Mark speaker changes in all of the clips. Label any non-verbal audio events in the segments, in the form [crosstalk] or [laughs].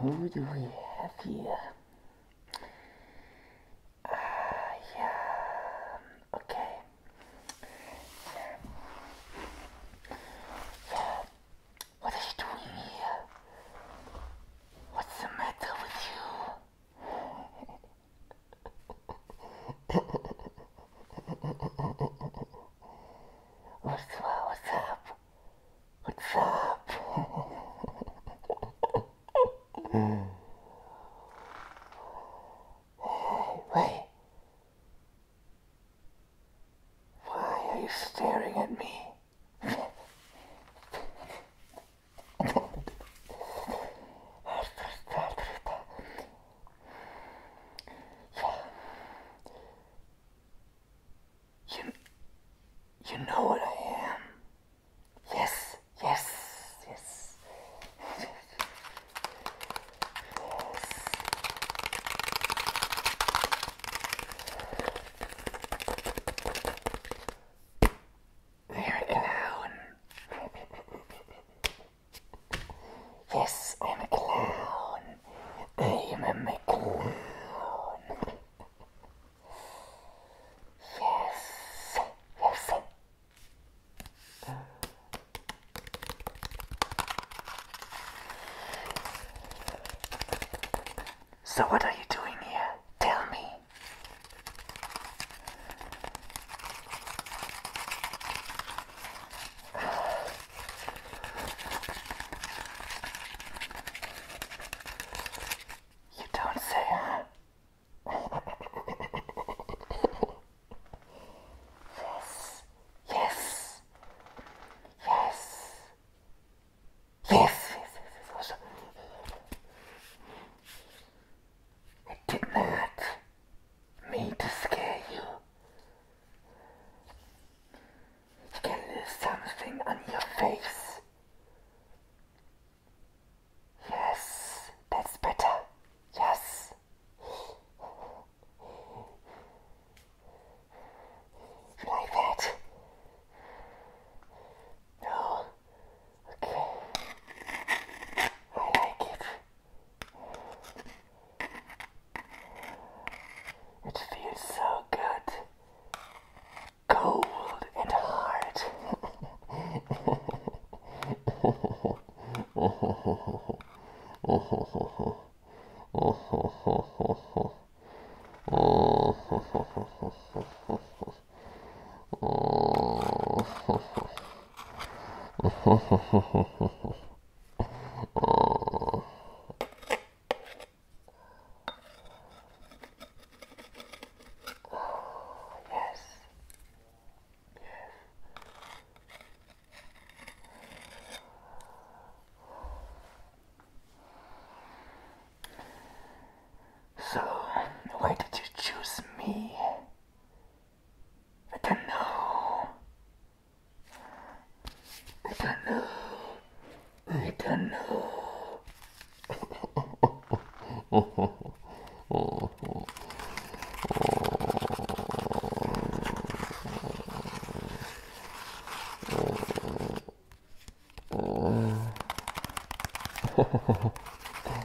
Speaker 1: Who do we have here? Uh, yeah. Okay. Yeah. Yeah. What doing here? What's the matter with you? what's, what's up? What's up? wait. Why are you staring at me? You, you know what I am. Yes, yes, yes. yes. Leave it alone. yes, I'm a clown. I'm a clown. yes, yes. So what are you doing here? Tell me. You don't say, huh? yes, yes, yes, yes, yes, yes, yes, yes. I did not mean to scare you. You can lose something on your face. Yes, that's better. Yes. like that? No. Okay. I like it. It feels so good. Cold and hard. [laughs] Oh. oh. oh. Yes. Yes. So, why did you choose me? I don't know. I don't know. I don't know. [laughs]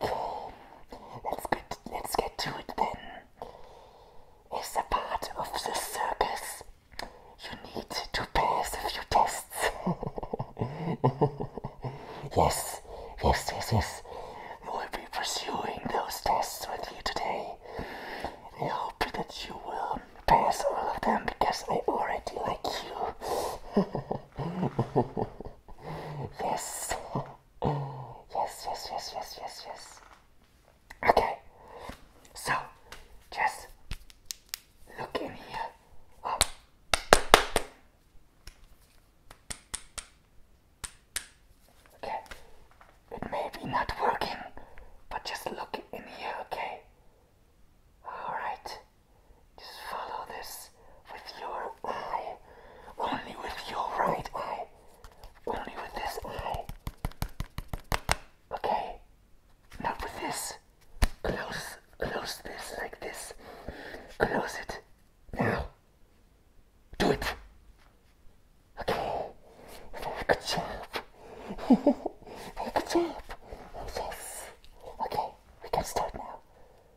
Speaker 1: let's get let's get to it then. As a part of the circus, you need to pass a few tests. [laughs] yes, yes, yes, yes. We'll be pursuing those tests with you today. I hope that you will pass all of them because I already like you. [laughs] yes. yes, yes, yes, yes, yes, Okay, so just look in here. Oh. Okay, it may be not working, but just look in here, okay? Alright. Just follow this with your eye. Only with your right eye. Only with this eye. Okay. Not with this. Close, close this like this. Close it. Now. Do it. Okay. good job. [laughs] good job. Yes. Okay. We can start now.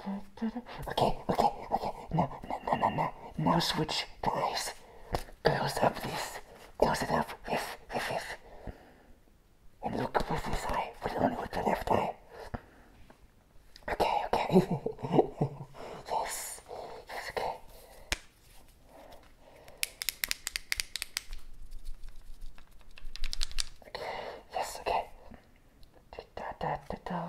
Speaker 1: Okay, okay, okay. Now, now, now, now. Now No switch doors. Close up this. Close it up. Yes, yes, yes. And look with this eye, but only with the left eye. Okay, okay. [laughs] yes. Yes, okay. Yes, okay. Da da da da.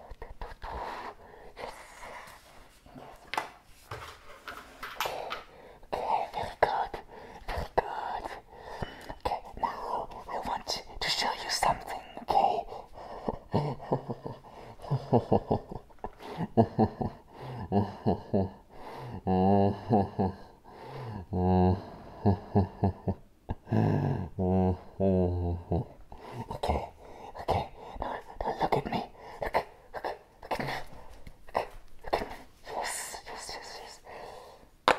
Speaker 1: Okay, very good, very good. Okay, now I want to show you something, okay? okay, okay. Now, now look at me. Look, look, look at me. Look, look at me. Yes, yes, yes, yes.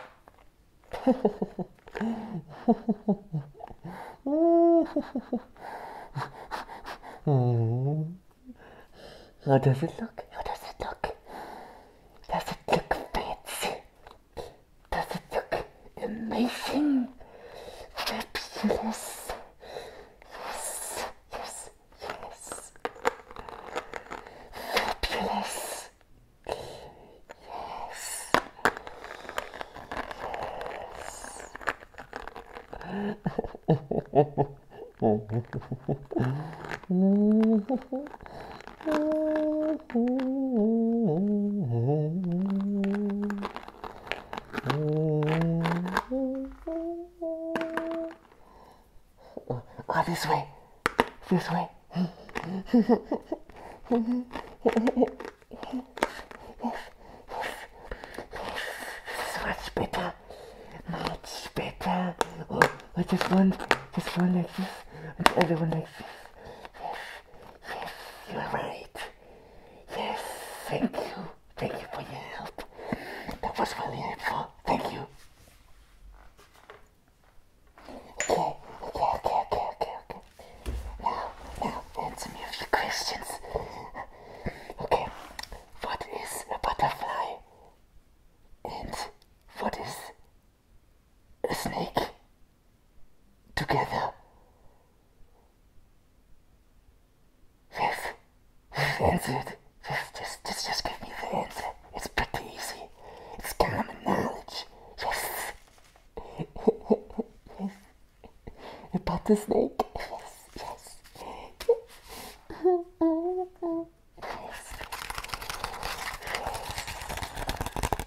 Speaker 1: How does it look? How does it look? Does it look fancy? does it look amazing? Fabulous. Yes, yes, yes. Fabulous. Yes. Yes. [laughs] [laughs] Oh, this way. This way. much better. Much better. Oh, just one, just one like this, and the other one like this yes, yes, you're right. Yes, thank you. Thank you for your help. That was really helpful. Thank you. Okay, okay, okay, okay, okay, okay. Now, now, answer me a few questions. Okay, what is a butterfly? And what is a snake? together with the answer. Just, just, just, just give me the answer. It's pretty easy. It's common knowledge. Yes. yes. About the snake. Yes, yes. yes.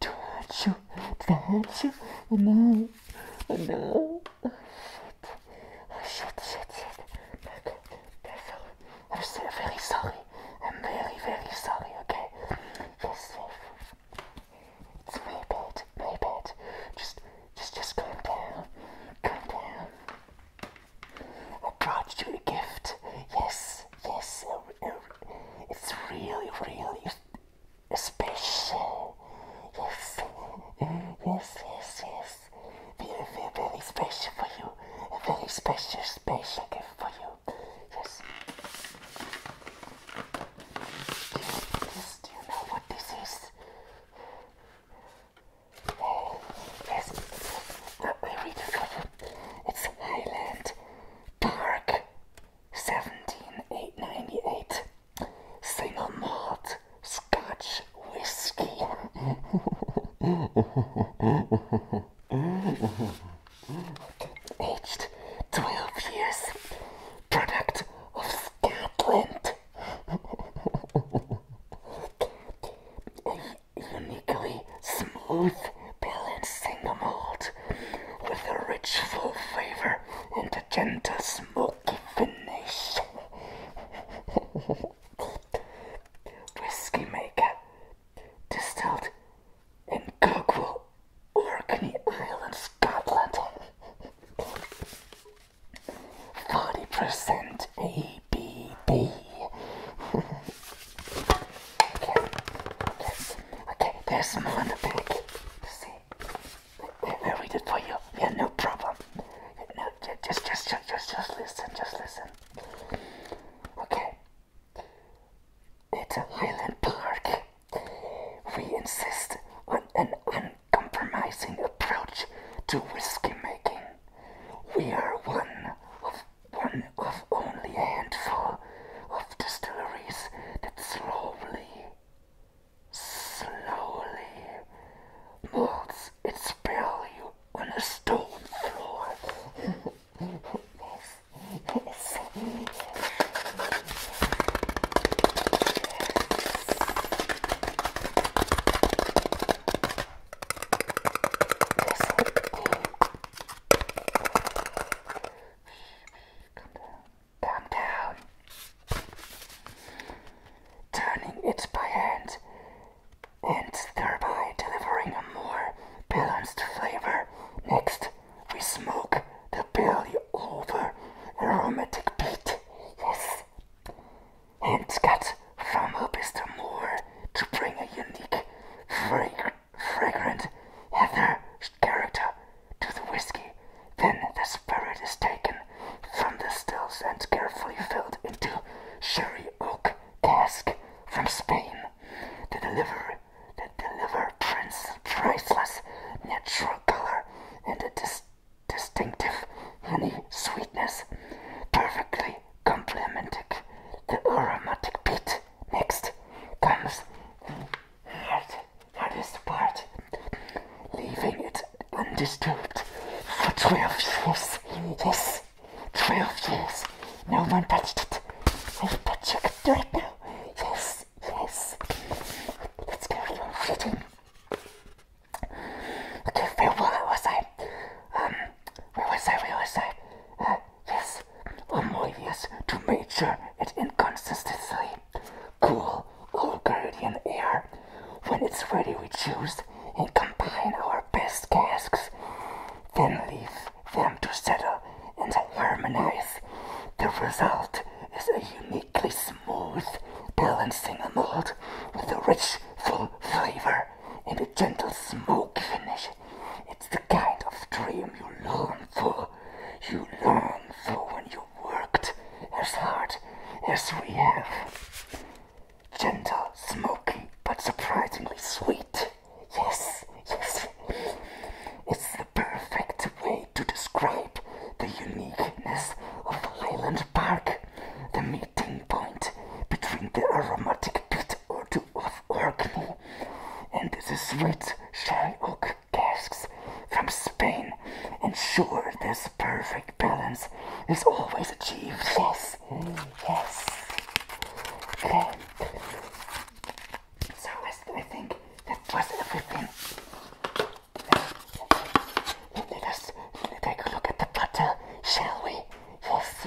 Speaker 1: Touch you, touch you. Oh no, oh no. Oh shit, oh shit, shit, shit. Look, I'm so very sorry. I'm very, very sorry, okay? Yes, yes. It's my bad, my bad. Just, just, just calm down. Calm down. I brought you a gift. Yes, yes, it's really, really special. Yes, yes, yes, yes. Very, very, very special for you. very special, special gift for you. Yes. This, do you know what this is? Yes, let me read it It's an island dark 17898 single malt scotch whiskey. Aged 12 years, product of Scotland. [laughs] uniquely smooth, balanced single malt with a rich, full flavor and a gentle, smoky finish. [laughs] Whiskey maker, distilled in Kirkwall, Orkney Island, Scotland. 40% ABV. [laughs] Okay, there's some on the back. See? We'll read it for you. Yeah, no problem. No, just, just, just, just, just listen, just listen. Okay. It's a Highland Park. We insist on an uncompromising approach to whiskey making. We are one of one of only a handful of distilleries that slowly, slowly molds its value on a stone floor. [laughs] down. down. Turning it by hand and thereby delivering a more balanced flavor. Next, we smoke the barley over aromatic peat. Yes. And cut from a pistol more to bring a unique fragrance fragrant ether character to the whiskey. Then the spirit is taken from the stills and carefully filled into sherry oak cask from Spain. The deliver the deliver prince priceless natural color and a dis distinctive honey sweetness perfectly complementing the aromatic peat next comes the hardest part, leaving it undisturbed for 12 years. Yes, 12 years. No one touched it. I bet you can do it now. Yes, yes. Let's carry on reading. Okay, where was I? Um, where was I? Where was I? Uh, this Amoyvius to measure its inconsistency. Cool our Guardian air. When it's ready we choose and combine our best casks, then leave them to settle and harmonize. The result is a uniquely smooth, balancing mold with a rich, full flavor and a gentle smoke finish. It's the kind of dream you long for. You long for when you have worked as hard as we have. Gentle, smoky, but surprisingly sweet. Yes, yes. It's the perfect way to describe the uniqueness of Highland Park, the meeting point between the aromatic pit or two of Orkney, and the sweet sherry oak casks from Spain ensure this perfect balance is always achieved. Yes, yes. Okay. So I think that was everything. Let us take a look at the butter, shall we? Yes.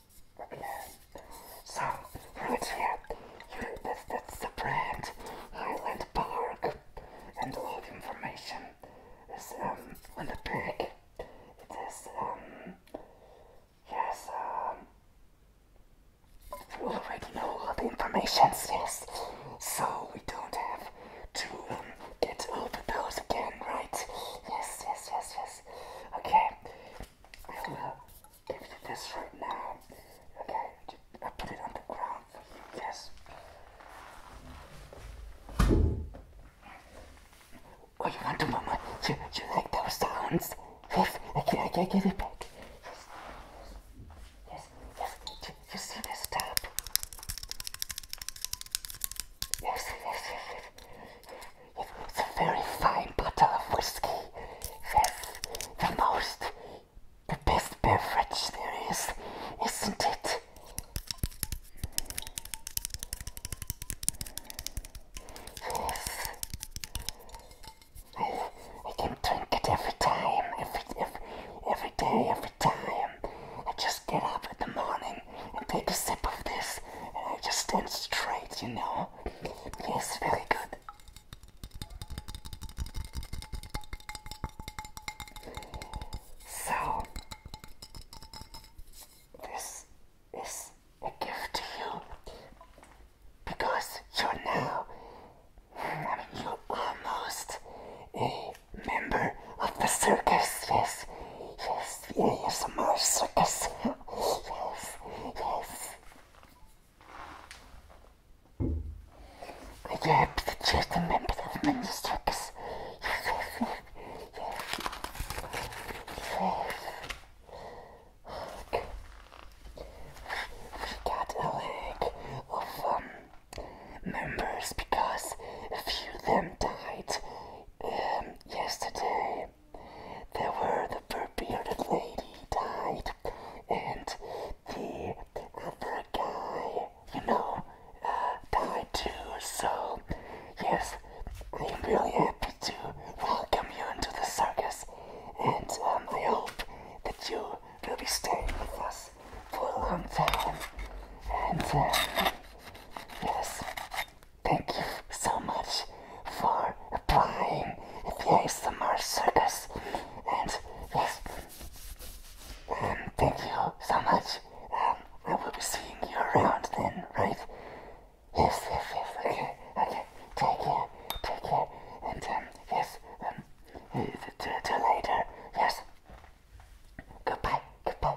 Speaker 1: So, right here, you, this, the brand, Highland Park. And a lot of information is um, on the back. It is, um, yes, um, you already know all the information, yes. So, we don't have to um, get over those again, right? Yes, yes, yes, yes. Okay. Give you this right now. Okay, I put it on the ground. Yes. Oh, you want to, Do You, you like those sounds? Yes, I, can't. I, can't give it back. Yes, yes, you, you see this tap? Yes, yes, yes, yes. It's a very fine bottle of whiskey have the most, the best beverage there is, isn't it? Yes. I, I can drink it every time, every, every, every day, every time. I just get up in the morning and take a sip of this, and I just stand straight, you know. It is very good. So, this is a gift to you because you're now, I mean, you're almost a member of the circus. Yes, yes, the ASMR circus. yes, yes. Надя честный мембер of Ministrix. Look. We got a leg of um, members because a few of them died um, yesterday. There were the Burbearded lady died, and the other guy, you know, uh, died too. So, yes, we're really happy to welcome you into the circus, and um, I hope that you will be staying with us for a long time. And, uh, yes, thank you so much for applying at the ASMR Circus. And yes, um, thank you so much. Um, I will be seeing you around then, right? Yes, yes, yes. Okay, okay. Take care, take care. And um, yes, um, uh, to till later. Yes. Goodbye, goodbye.